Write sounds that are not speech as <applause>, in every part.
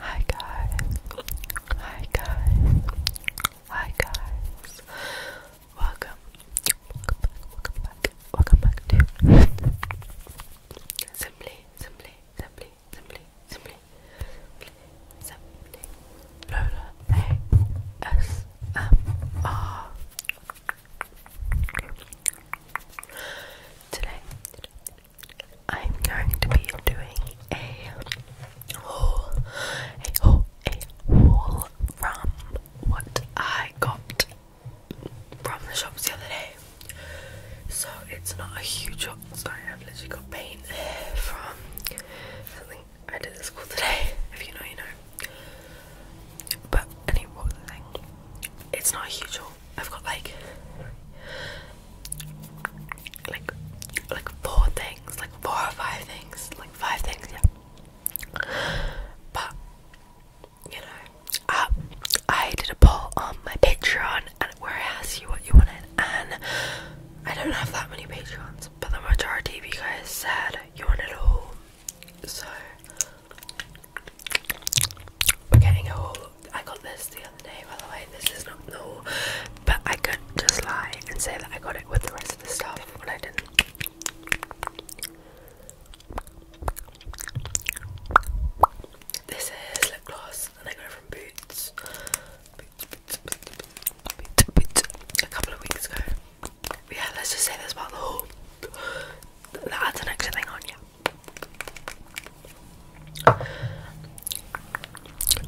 Hi guys, hi guys, hi guys. Welcome, welcome welcome back, welcome back to Simply, Simply, Simply, Simply, Simply, Simply, Lola ASMR. today, I'm going to be doing a haul, a haul, a haul from what I got from the shops the other day. So it's not a huge haul. I've literally got paint from something I did at school today. <laughs> If you know, you know. But anyway, thing? It's not a huge haul. I've got like like like four things, like four or five things, like five things, yeah. But you know, uh, I did a poll on my Patreon and where I asked you what you wanted, and I don't have that many Patreons, but the majority of you guys said you want it all. So we're getting a whole. I got this the other day, by the way. This is not no, but I could just lie and say that I got it with the rest of the stuff when I didn't. This is lip gloss, and I got it from Boots. A couple of weeks ago. yeah, let's just say this about the whole. That's an extra thing on, yeah. Okay,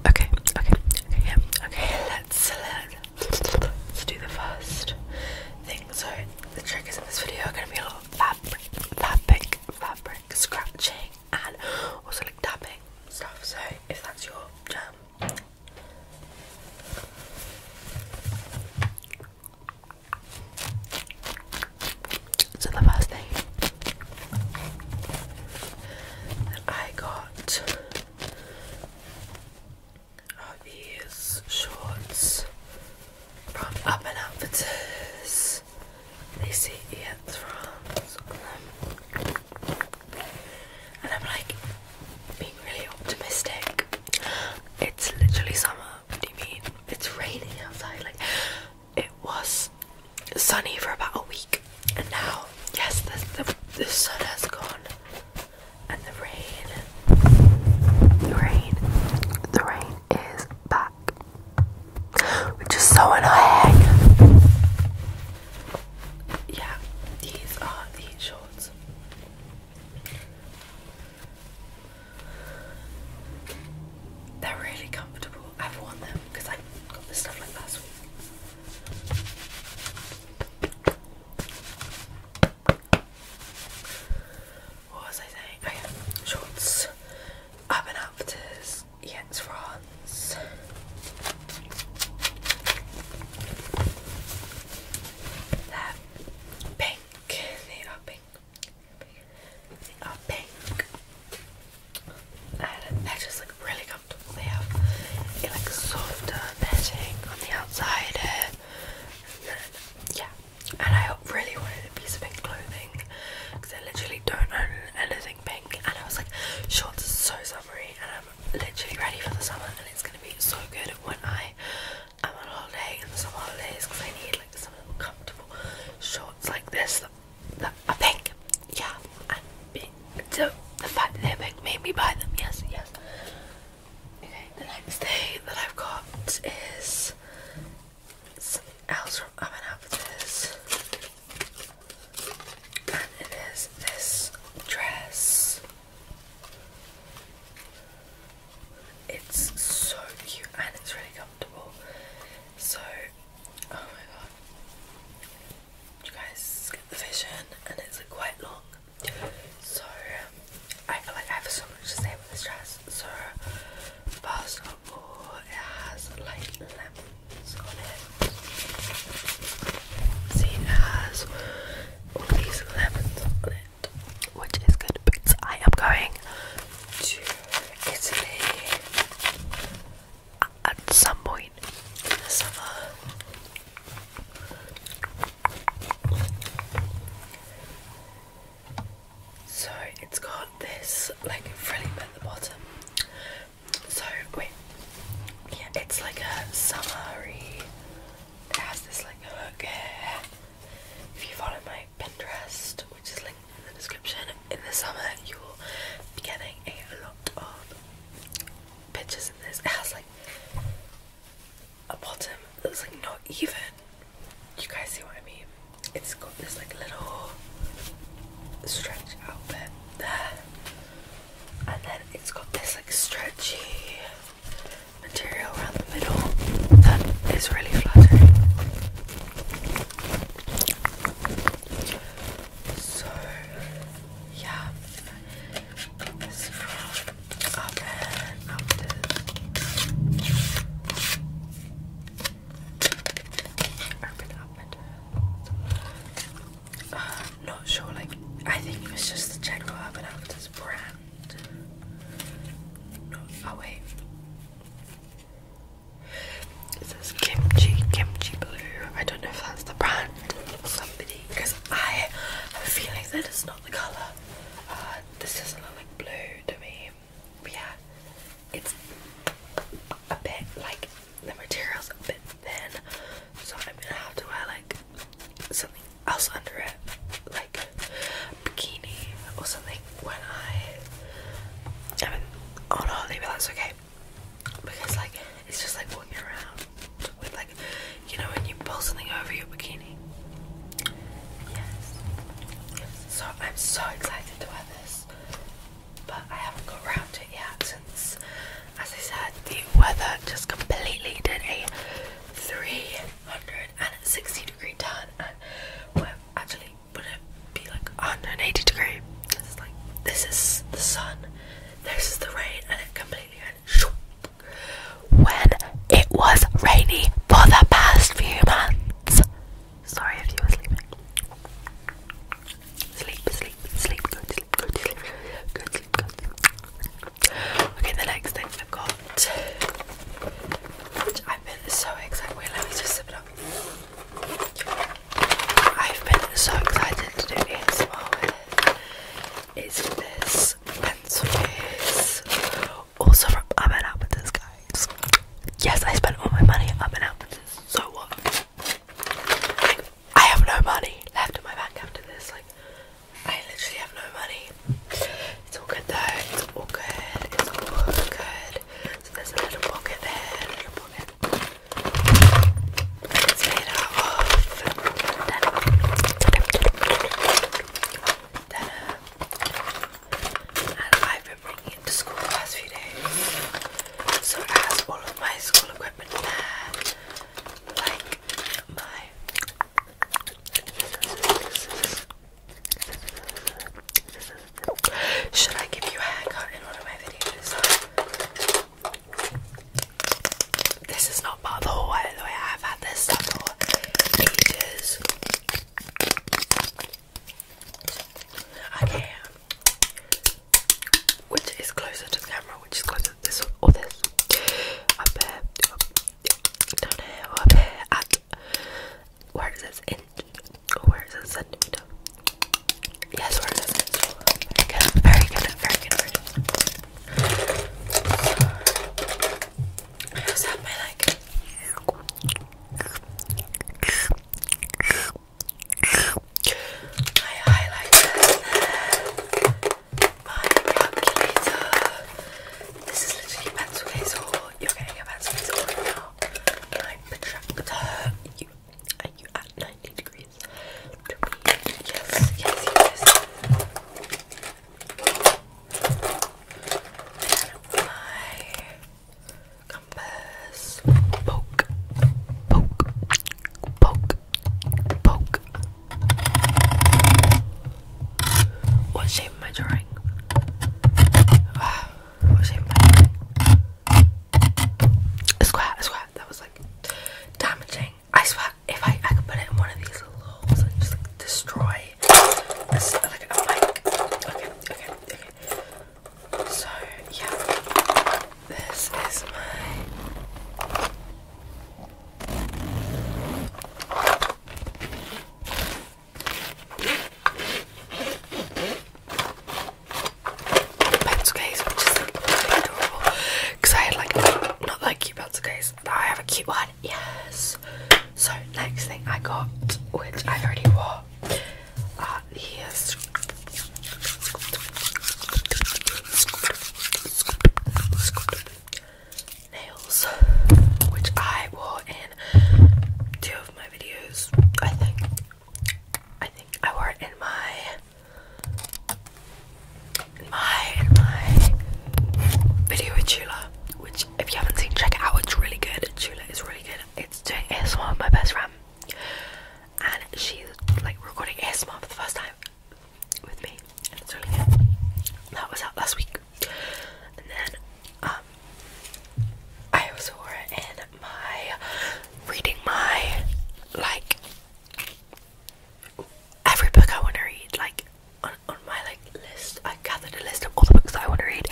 okay, okay, okay, let's, let, us let us do the first thing. So, the triggers in this video are going to be a lot of fabric, fabric, fabric scratching and also like tapping stuff. So, if that's your jam, so the first thing I got are these shorts from Urban Outfitters. They say it's France on them. And I'm like being really optimistic. It's literally summer. What do you mean? It's raining outside. Like it was sunny for about a week, and now, yes, the, the, sun has gone, and the rain, the rain, the rain is back, which is so annoying. Yeah, these are the shorts. They're really comfortable. I've worn them because I got this stuff like last week. What was I saying? Oh, shorts. Urban Outfitters. Yeah, it's France. They're pink. They are pink are pink and they just look really comfortable. They have a like softer netting on the outside And then, yeah, and I really wanted a piece of pink clothing because I literally don't own anything pink. And I was like, shorts are so summery, and I'm literally ready for the summer, and it's gonna be so good when I am on holiday in the summer holidays because I need like some little comfortable shorts like this the, a Yeah, So the fact that they're made me buy them. Yes, yes. Okay, the next thing that I've got is something else from Urban Outfitters, and it is this dress. It's so cute and it's really comfortable. So, oh my god, you guys get the vision, and it's quite long. So, I feel like I have so much to say about this dress. So, first of all, it has like lemons on it. See, it has all these lemons on it, which is good because I am going to Italy at some point in the summer. So it's got this like frilling at the bottom. So wait, yeah, it's like a summery. It has this like hook If you follow my Pinterest, which is linked in the description. In the summer, you will be getting a lot of pictures in this. It has like a bottom that's like not even. You guys see what I mean? It's got this like little stretch out bit there, and then it's got this like stretchy material around the middle that is really flattering. So, yeah, Urban Outfitters. Urban Outfitters. not sure, like, I think it was just the general Urban Outfitters brand. No, oh wait. It says kimchi, kimchi blue. I don't know if that's the brand or somebody because I have a feeling that it's not the colour. Uh, this doesn't look like blue to me. But yeah, it's a bit like the material's a bit thin, so I'm gonna have to wear like something else under it, like a bikini or something when I am on holiday, that's okay because like it's just like walking around with like you know when you pull something over your bikini. Yes. So I'm so excited to wear this, but I haven't got around to it yet since, as I said, the weather just completely did a 360 degree turn and we're actually but it be like 180 degree. like this is the sun, this is the rain, and it completely went. When it was rainy for the past few months. Sorry if you were sleeping. Sleep, sleep, sleep, good sleep, good sleep, good sleep, good sleep. Okay, the next thing i got, which I've been so excited. Wait, let me just sip it up. I've been so excited to do ASMR with is this pencil case also from Urban Outfitters guys yes I spent all my money at Urban Outfitters so what I have no money left in my bank after this like I literally have no money it's all good though it's all good it's all good so there's a little pocket there, it's made out of denim. Denim. And I've been bringing it to school the last few days. So it has all of my school equipment there. Like my scissors, should I give you a haircut in one of my videos? This is not part of the haul, by the way. I've had this stuff for ages. Okay. Um, which is closer to the camera? Which is closer to this or this? Up here, up, down here, up here, at where is this? In where is it centimeter? Yes, where is it? Very good, very good, very good. I just my like. My highlighter, my calculator. This is literally pencil case, or you're getting a pencil case right now. Uh, are you at 90 degrees? Yes, yes, yes. my compass. Poke, poke, poke, poke. What shape am I drawing? Ah. I swear, I swear, that was like damaging. I swear, if I, I could put it in one of these little holes and just like destroy Okay, okay, okay. So, yeah, this is my pencil case, which is like adorable. Because I like not that cute pencil case, I have a cute one. Yes. So next thing I got, which I already wore, are these. Nails, which I wore in two of my videos, I think. I think I wore it in my in my in my video with Chula, which if you haven't seen, check it out. It's really good. Chula is really good. It's doing ASMR with my best friend, and she's like recording ASMR for the first time with me. And it's That was out last week, and then um I was wore it in my reading my like every book I want to read like on, on my like list I gathered a list of all the books that I want to read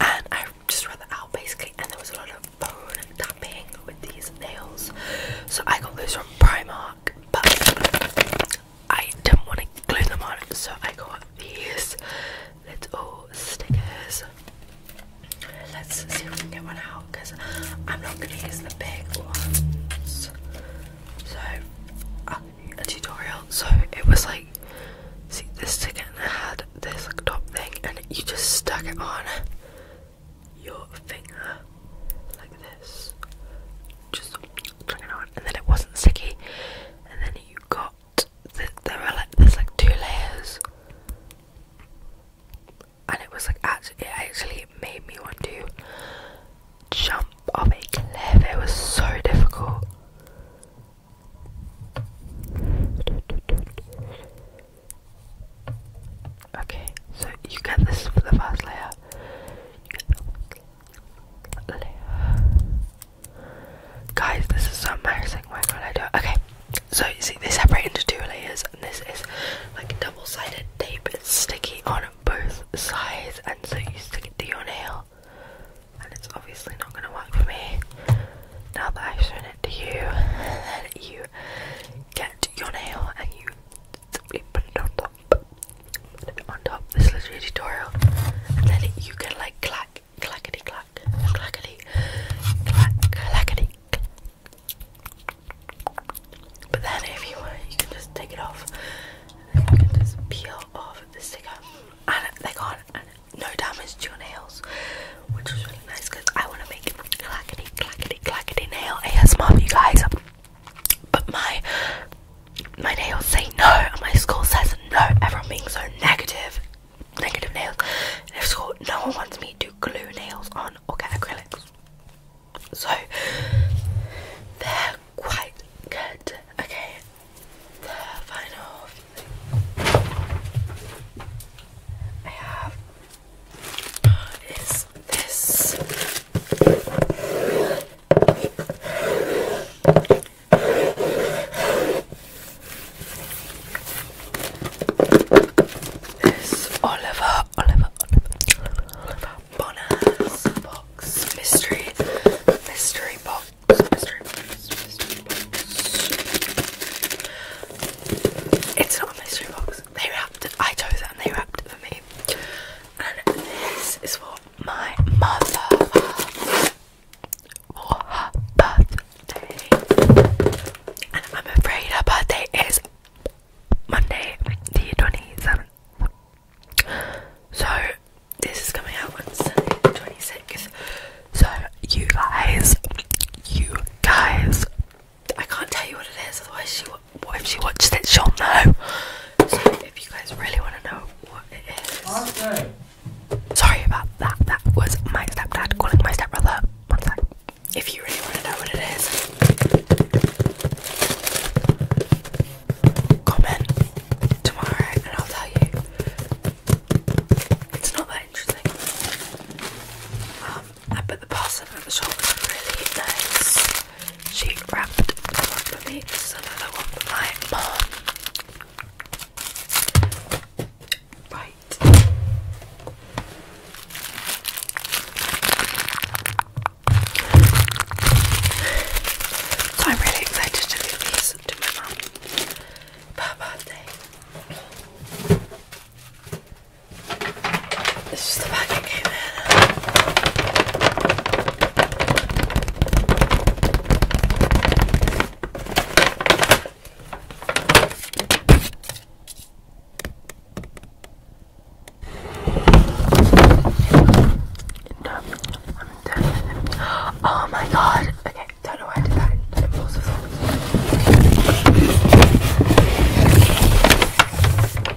and I just read that out basically and there was a lot of bone tapping with these nails so I got these from Primark but I didn't want to glue them on so I got these little stickers. Let's see if we can get one out because I'm not going to use the big ones. So, uh, a tutorial. So it was like, see, this sticker had this like, top thing, and you just stuck it on your finger like this, just stuck it on, and then it wasn't sticky, and then you got there were like there's like two layers, and it was like actually it actually made me want to jump off a cliff. It was so difficult. Okay, so you get this for the first layer. Guys, this is so embarrassing. Why can't I do it? Okay, so you see, they separate into two layers, and this is like double sided tape. It's sticky on both sides, and so you stick it to your nail. And it's obviously not going to work for me. Now that I've shown it to you, then <laughs> you get your nail and you simply put it on top. on top. This is a tutorial. And then you can like clack clackety clack, clackety clack, clackety. Clack. But then, if you want, you can just take it off. If I can just peel off the sticker, and they got no damage to your nails, which is really nice because I want to make clackety clackety clackety nail ASMR for you guys. But my my nails say no, and my school says no. Everyone being so negative negative nails. no one wants me to glue nails on or get acrylics. So they're quite good. Okay, the final thing I have is this. This Oliver, Oliver, Oliver, Oliver Bonner's box mystery, mystery box, mystery box, mystery box. It's not a mystery box. They wrapped it. I chose it, and they wrapped it for me. And this is what my mother for her birthday. And I'm afraid her birthday is Monday, the 27th. So, this is coming out on Sunday, the 26th. So, you guys, you guys, I can't tell you what it is, otherwise, she, what if she watches it, she'll know. So, if you guys really want to know what it is. Sorry about that. That was my stepdad calling my stepbrother. One sec. If you really want to know what it is, comment tomorrow and I'll tell you. It's not that interesting. Um, I put the person at the shop really nice. She wrapped one for me. This is another one for my Right. I'm really excited to give these to my mum for her birthday. This is the bag it came in i Oh my god. Okay, don't know why I did that.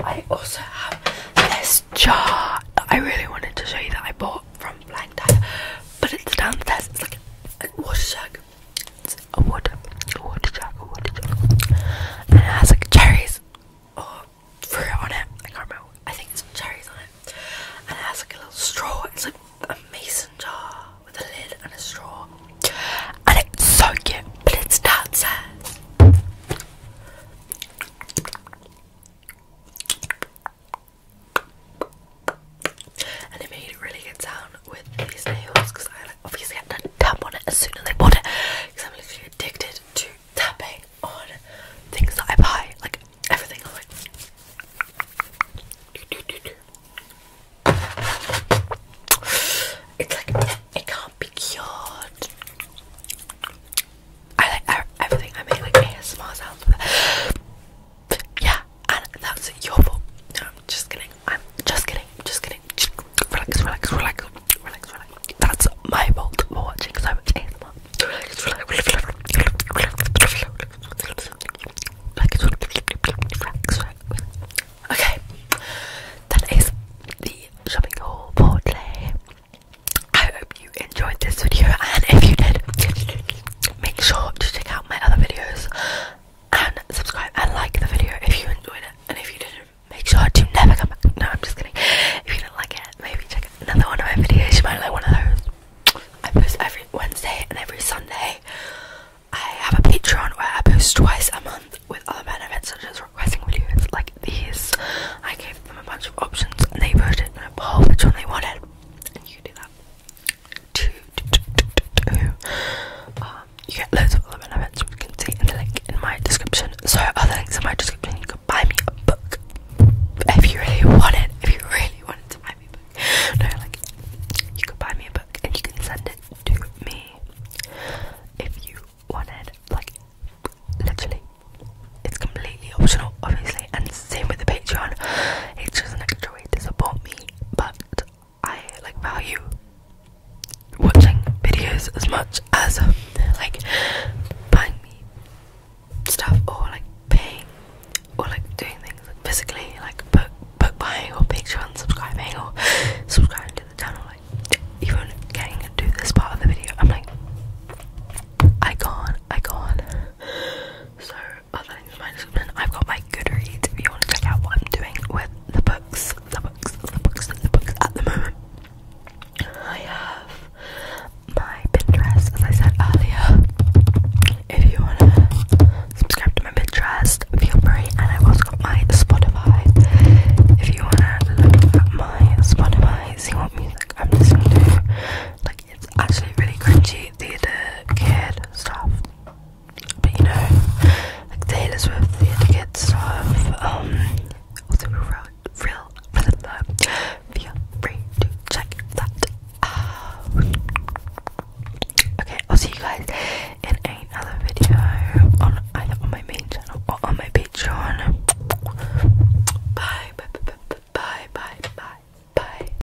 I also have this jar that I really wanted to show you that I bought from Blank but it's downstairs. It's like a water jug. It's a water, a water jug, a water jug, and it has like cherries or fruit on it. I can't remember. I think it's cherries on it, and it has like a little straw. It's like a mason jar with a lid and a straw, and it's so cute. But it's downstairs and it made a really good sound with these nails because I like, obviously had to tap on it as soon as I bought it because I'm literally addicted to tapping on things that I buy, like everything. it's like it can't be cured. I like everything. I make like ASMR sounds with yeah, and that's your fault. No, I'm just kidding. I'm just kidding. I'm just kidding. Just relax, relax, relax, relax, relax. That's my fault for watching so much ASMR. Relax, relax, relax, relax, relax, relax, relax. Okay, that is the shopping haul for today. I hope you enjoyed this video, and if you did, make sure to check out my other videos and subscribe and like the video if you enjoyed it. And if you didn't, make sure to never come back. No, I'm just kidding. If you didn't like it, maybe check out another one of my videos. You might like one of those. I post every Wednesday and every Sunday. I have a Patreon where I post twice a month with other benefits such as requesting videos like these. I gave them a bunch of options and they voted in a poll which one they wanted. And you do that. Um, you get loads of other benefits which you can see in the link in my description. So other links in my description you can buy me a book if you really want it. If you really wanted to buy me a book. No, like you could buy me a book and you can send it to me if you wanted. Like literally. It's completely optional obviously and same with the Patreon. It's just an extra way to support me, but I like value watching videos as much as like buying me stuff or like paying or like doing things like physically like book buying or Patreon subscribing or subscribing to the channel like even getting to this part of the video I'm like I can't I can't so I've got my Goodreads if you want to check out what I'm doing with the books, the books, the books, the books at the moment. I have my Pinterest, as I said earlier. If you want to subscribe to my Pinterest, feel free. And I've also got my Spotify. If you want to look at my Spotify, see what music I'm listening to, it's actually really cringy theatre kid stuff. But you know, like Taylor Swift theatre kid stuff. Um also real real for the love. Feel free to check that out. Okay, I'll see you guys in another video on either on my main channel or on my Patreon. Bye bye bye bye bye bye bye. bye.